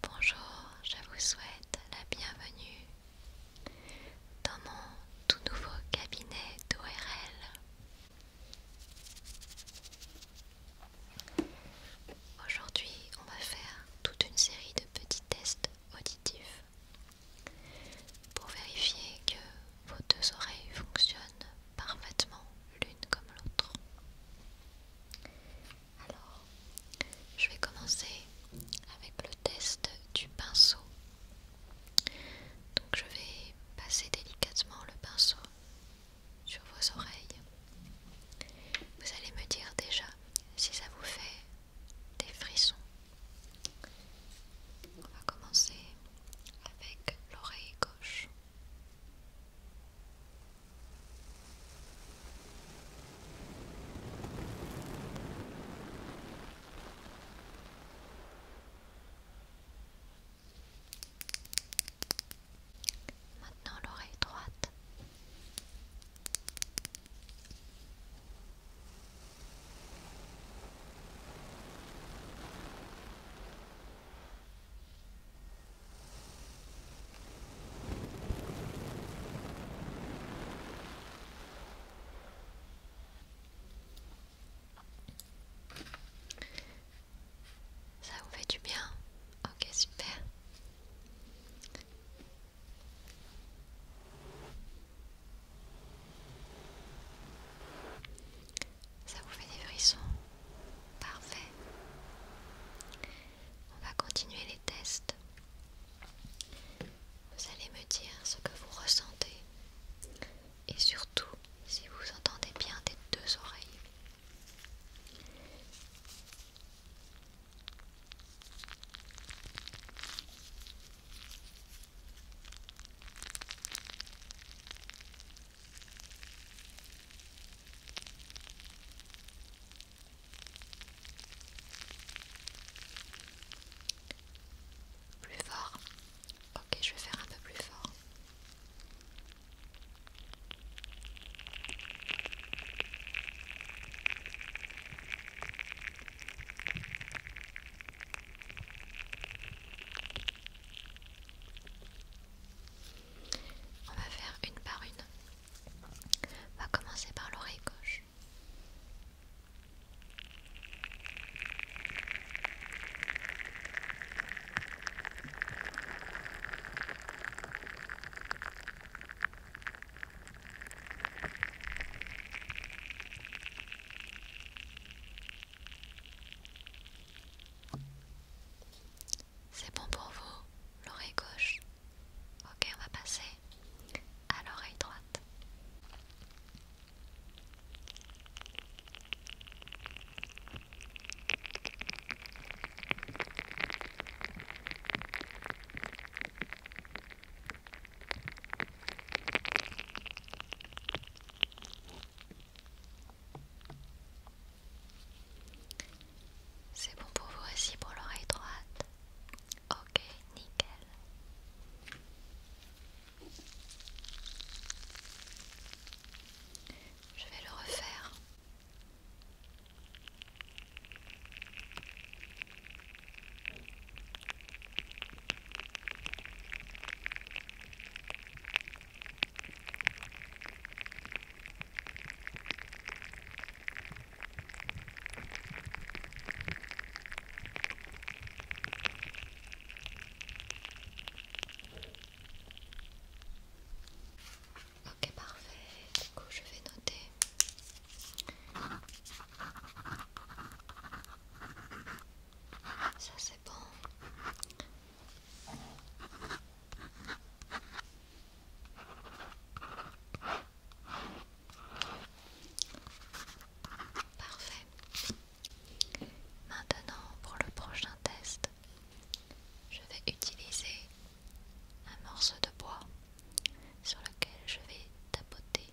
Bonjour, je vous souhaite la bienvenue dans mon tout nouveau cabinet d'ORL. Aujourd'hui, on va faire toute une série de petits tests auditifs pour vérifier que vos deux oreilles fonctionnent parfaitement l'une comme l'autre. Alors, je vais commencer avec le test du pinceau. Donc je vais passer délicatement le pinceau sur vos oreilles. Vous allez me dire déjà si ça vous fait des frissons. On va commencer avec l'oreille gauche. Maintenant l'oreille droite. Ça vous fait du bien Ok, super. Ça vous fait des frissons Parfait. On va continuer les tests. Vous allez me dire ce que vous ressentez et surtout si vous entendez bien des deux oreilles. Plus fort. Ok, je vais faire un peu plus fort. On va faire une par une. On va commencer par l'oreille gauche. C'est bon pour vous, l'oreille gauche. Ok, on va passer à l'oreille droite. C'est bon pour vous aussi pour l'oreille droite. Ok, nickel. Je vais le refaire. Ok parfait, du coup je vais noter. Ça c'est bon. Parfait. Maintenant, pour le prochain test, je vais utiliser un morceau de bois sur lequel je vais tapoter.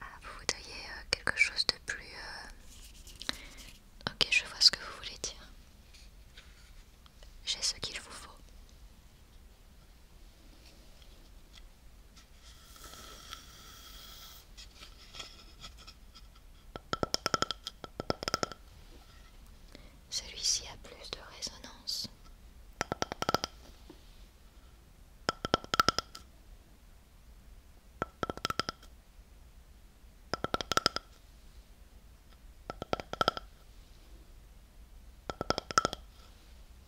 Ah, vous voudriez euh, quelque chose de plus... Euh, ok, je vois ce que vous voulez dire. J'ai ce qu'il vous faut. Celui-ci a plus de résonance.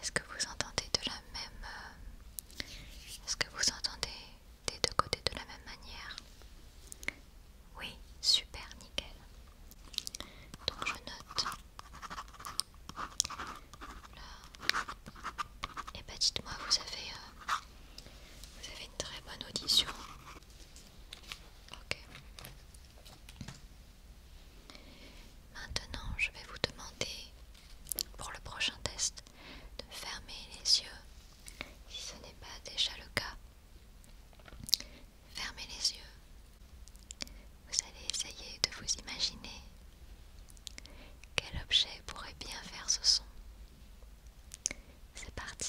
Est-ce que vous entendez de la même euh, Est-ce que vous entendez des deux côtés de la même manière Oui, super nickel. Donc je note. Et eh bah ben, dites-moi, vous avez euh, vous avez une très bonne audition. Ok. Maintenant, je vais vous demander pour le prochain test de fermer les yeux, si ce n'est pas déjà le cas. Fermez les yeux. Vous allez essayer de vous imaginer quel objet pourrait bien faire ce son. C'est parti.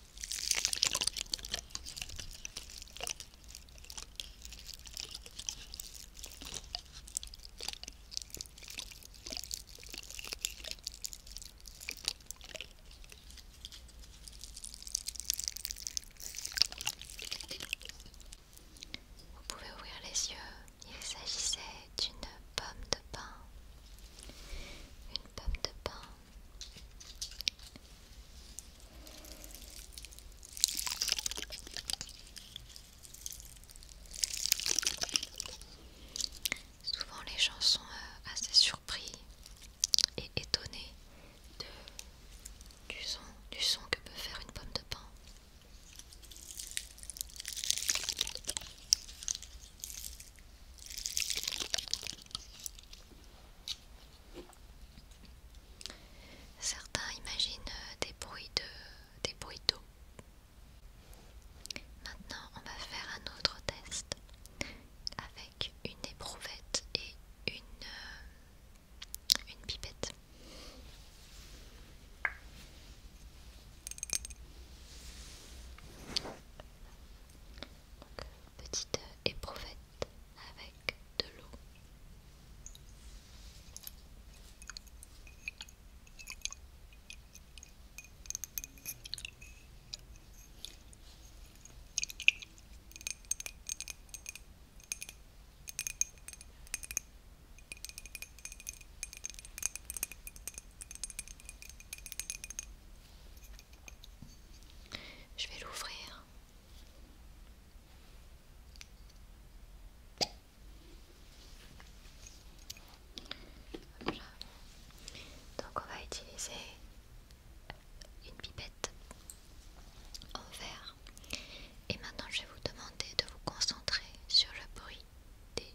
Vous pouvez ouvrir les yeux, il s'agissait d'une pomme de pain, une pomme de pain. Souvent les gens sont euh, assez surpris et étonnés du, son, du son que peut faire une pomme de pain. Certains imaginent euh, des bruits de des bruits d'eau. Maintenant, on va faire un autre test avec une éprouvette et une euh, une pipette petite euh, éprouvette avec de l'eau. Je vais l'ouvrir. Donc on va utiliser une pipette en verre. Et maintenant je vais vous demander de vous concentrer sur le bruit des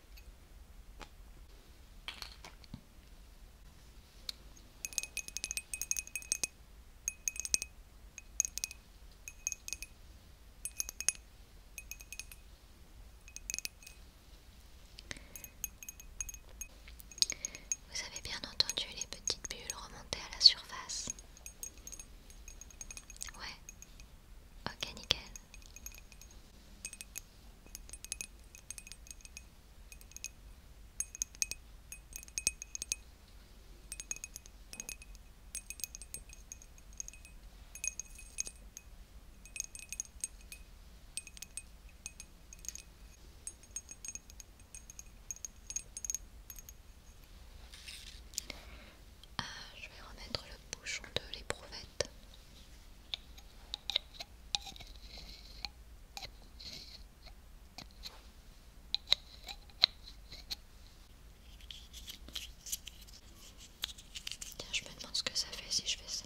Vous avez bien entendu les petites bulles remonter à la surface Ouais. Ok, nickel. Euh, je vais remettre le bouchon de l'éprouvette Tiens, je me demande ce que ça fait si je fais ça.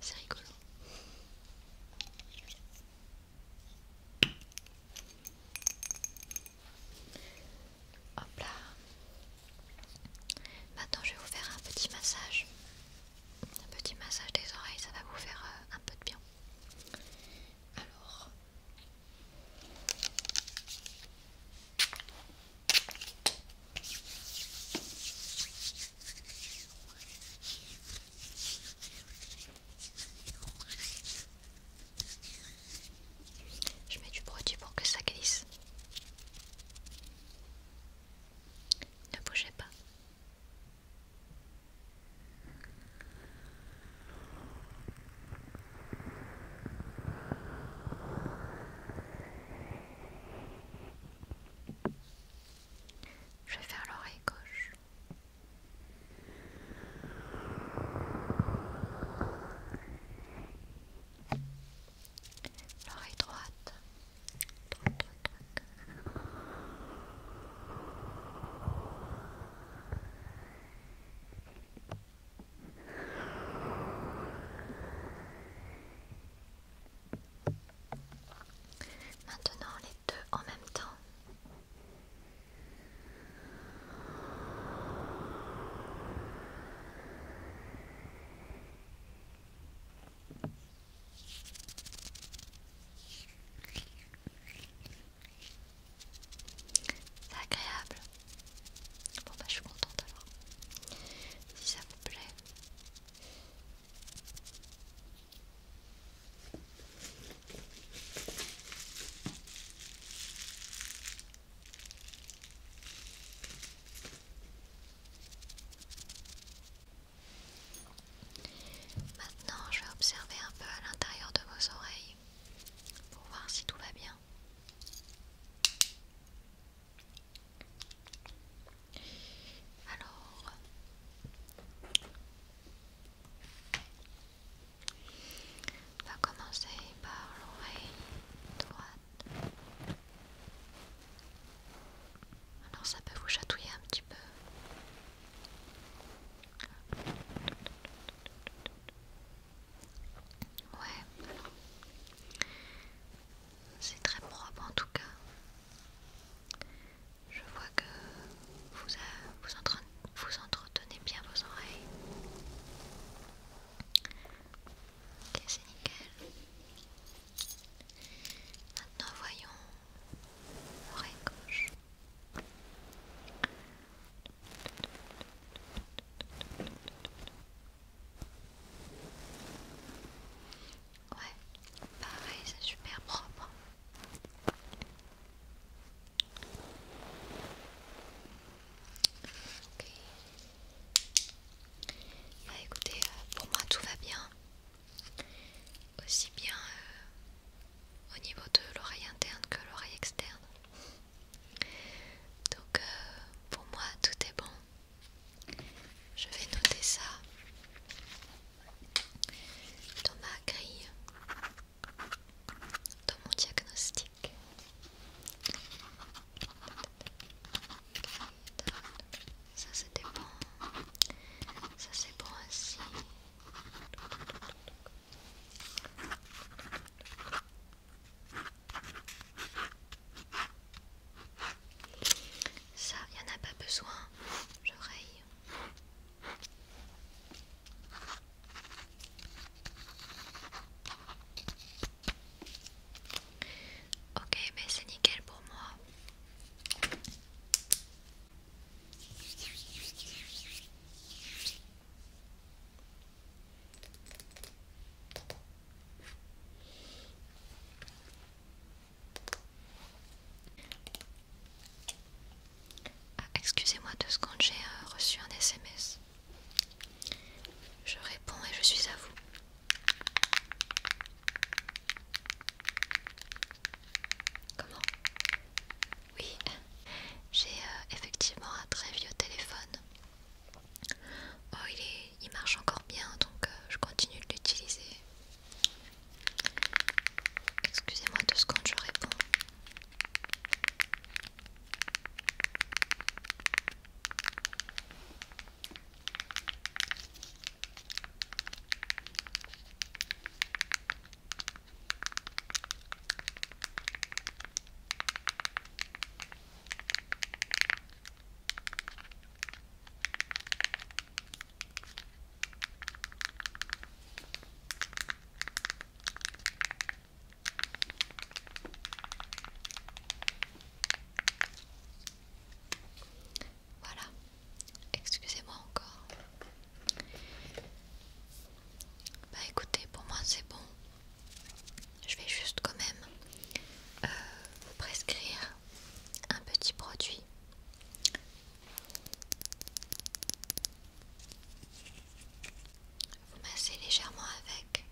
C'est rigolo. Hop là. Maintenant, je vais vous faire un petit massage. Un petit massage des oreilles, ça va vous faire euh, un peu de bien. Alors. Je mets du produit pour que ça glisse. Ne bougez pas. Je vais faire l'oreille gauche. L'oreille droite. Maintenant les deux en même temps. C'est agréable. Bon bah je suis contente alors. Si ça vous plaît, Maintenant, je vais observer un peu à l'intérieur de vos oreilles pour voir si tout va bien. Alors, on va commencer par l'oreille droite. Alors ça peut vous chatouiller un petit peu. Ouais, c'est très propre en tout cas. Je vois que vous, euh, vous, entretenez bien vos oreilles. Ok, c'est nickel. Maintenant, voyons l'oreille gauche. Ouais, pareil, c'est super propre. Ok. Bah écoutez, euh, pour moi tout va bien. Aussi bien euh, au niveau de l'oreille interne que l'oreille externe. Donc euh, pour moi tout est bon. Je vais noter ça dans ma grille, dans mon diagnostic. Ça c'était bon. Ça c'est bon ainsi. Ça, il n'y en a pas besoin, l'oreille. Ok, mais c'est nickel pour moi. Ah, excusez-moi de ce j'ai euh, reçu un SMS. Je réponds et je suis à vous. Comment Oui, j'ai euh, effectivement un très vieux téléphone Oh, il, marche encore bien donc euh, je continue de l'utiliser. Excusez-moi deux secondes, je réponds. Voilà, excusez-moi encore. Bah écoutez, pour moi c'est bon je vais juste quand même euh, vous prescrire un petit produit. Vous massez légèrement avec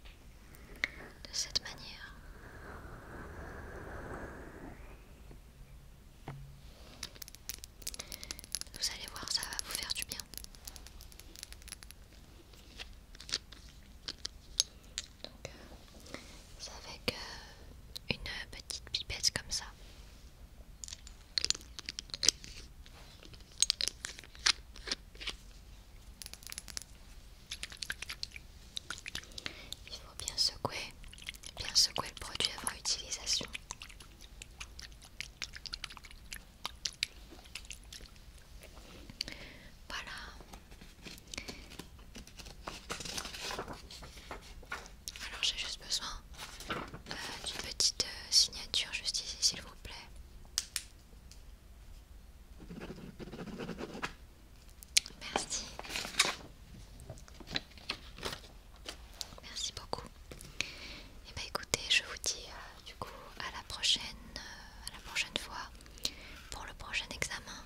de cette manière. Vous allez voir, ça va vous faire du bien. Donc, euh, avec euh, une petite pipette comme ça. Il faut bien secouer, bien secouer le produit avant utilisation. Voilà. Alors j'ai juste besoin euh, d'une petite euh, signature juste ici, s'il vous plaît. Merci. Merci beaucoup. Et eh bien écoutez, je vous dis euh, du coup à la prochaine euh, la prochaine fois pour le prochain examen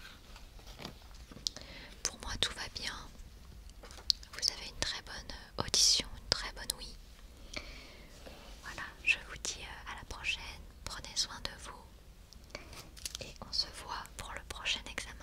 pour moi tout va bien vous avez une très bonne euh, audition une très bonne oui. voilà je vous dis euh, à la prochaine prenez soin de vous et on se voit pour le prochain examen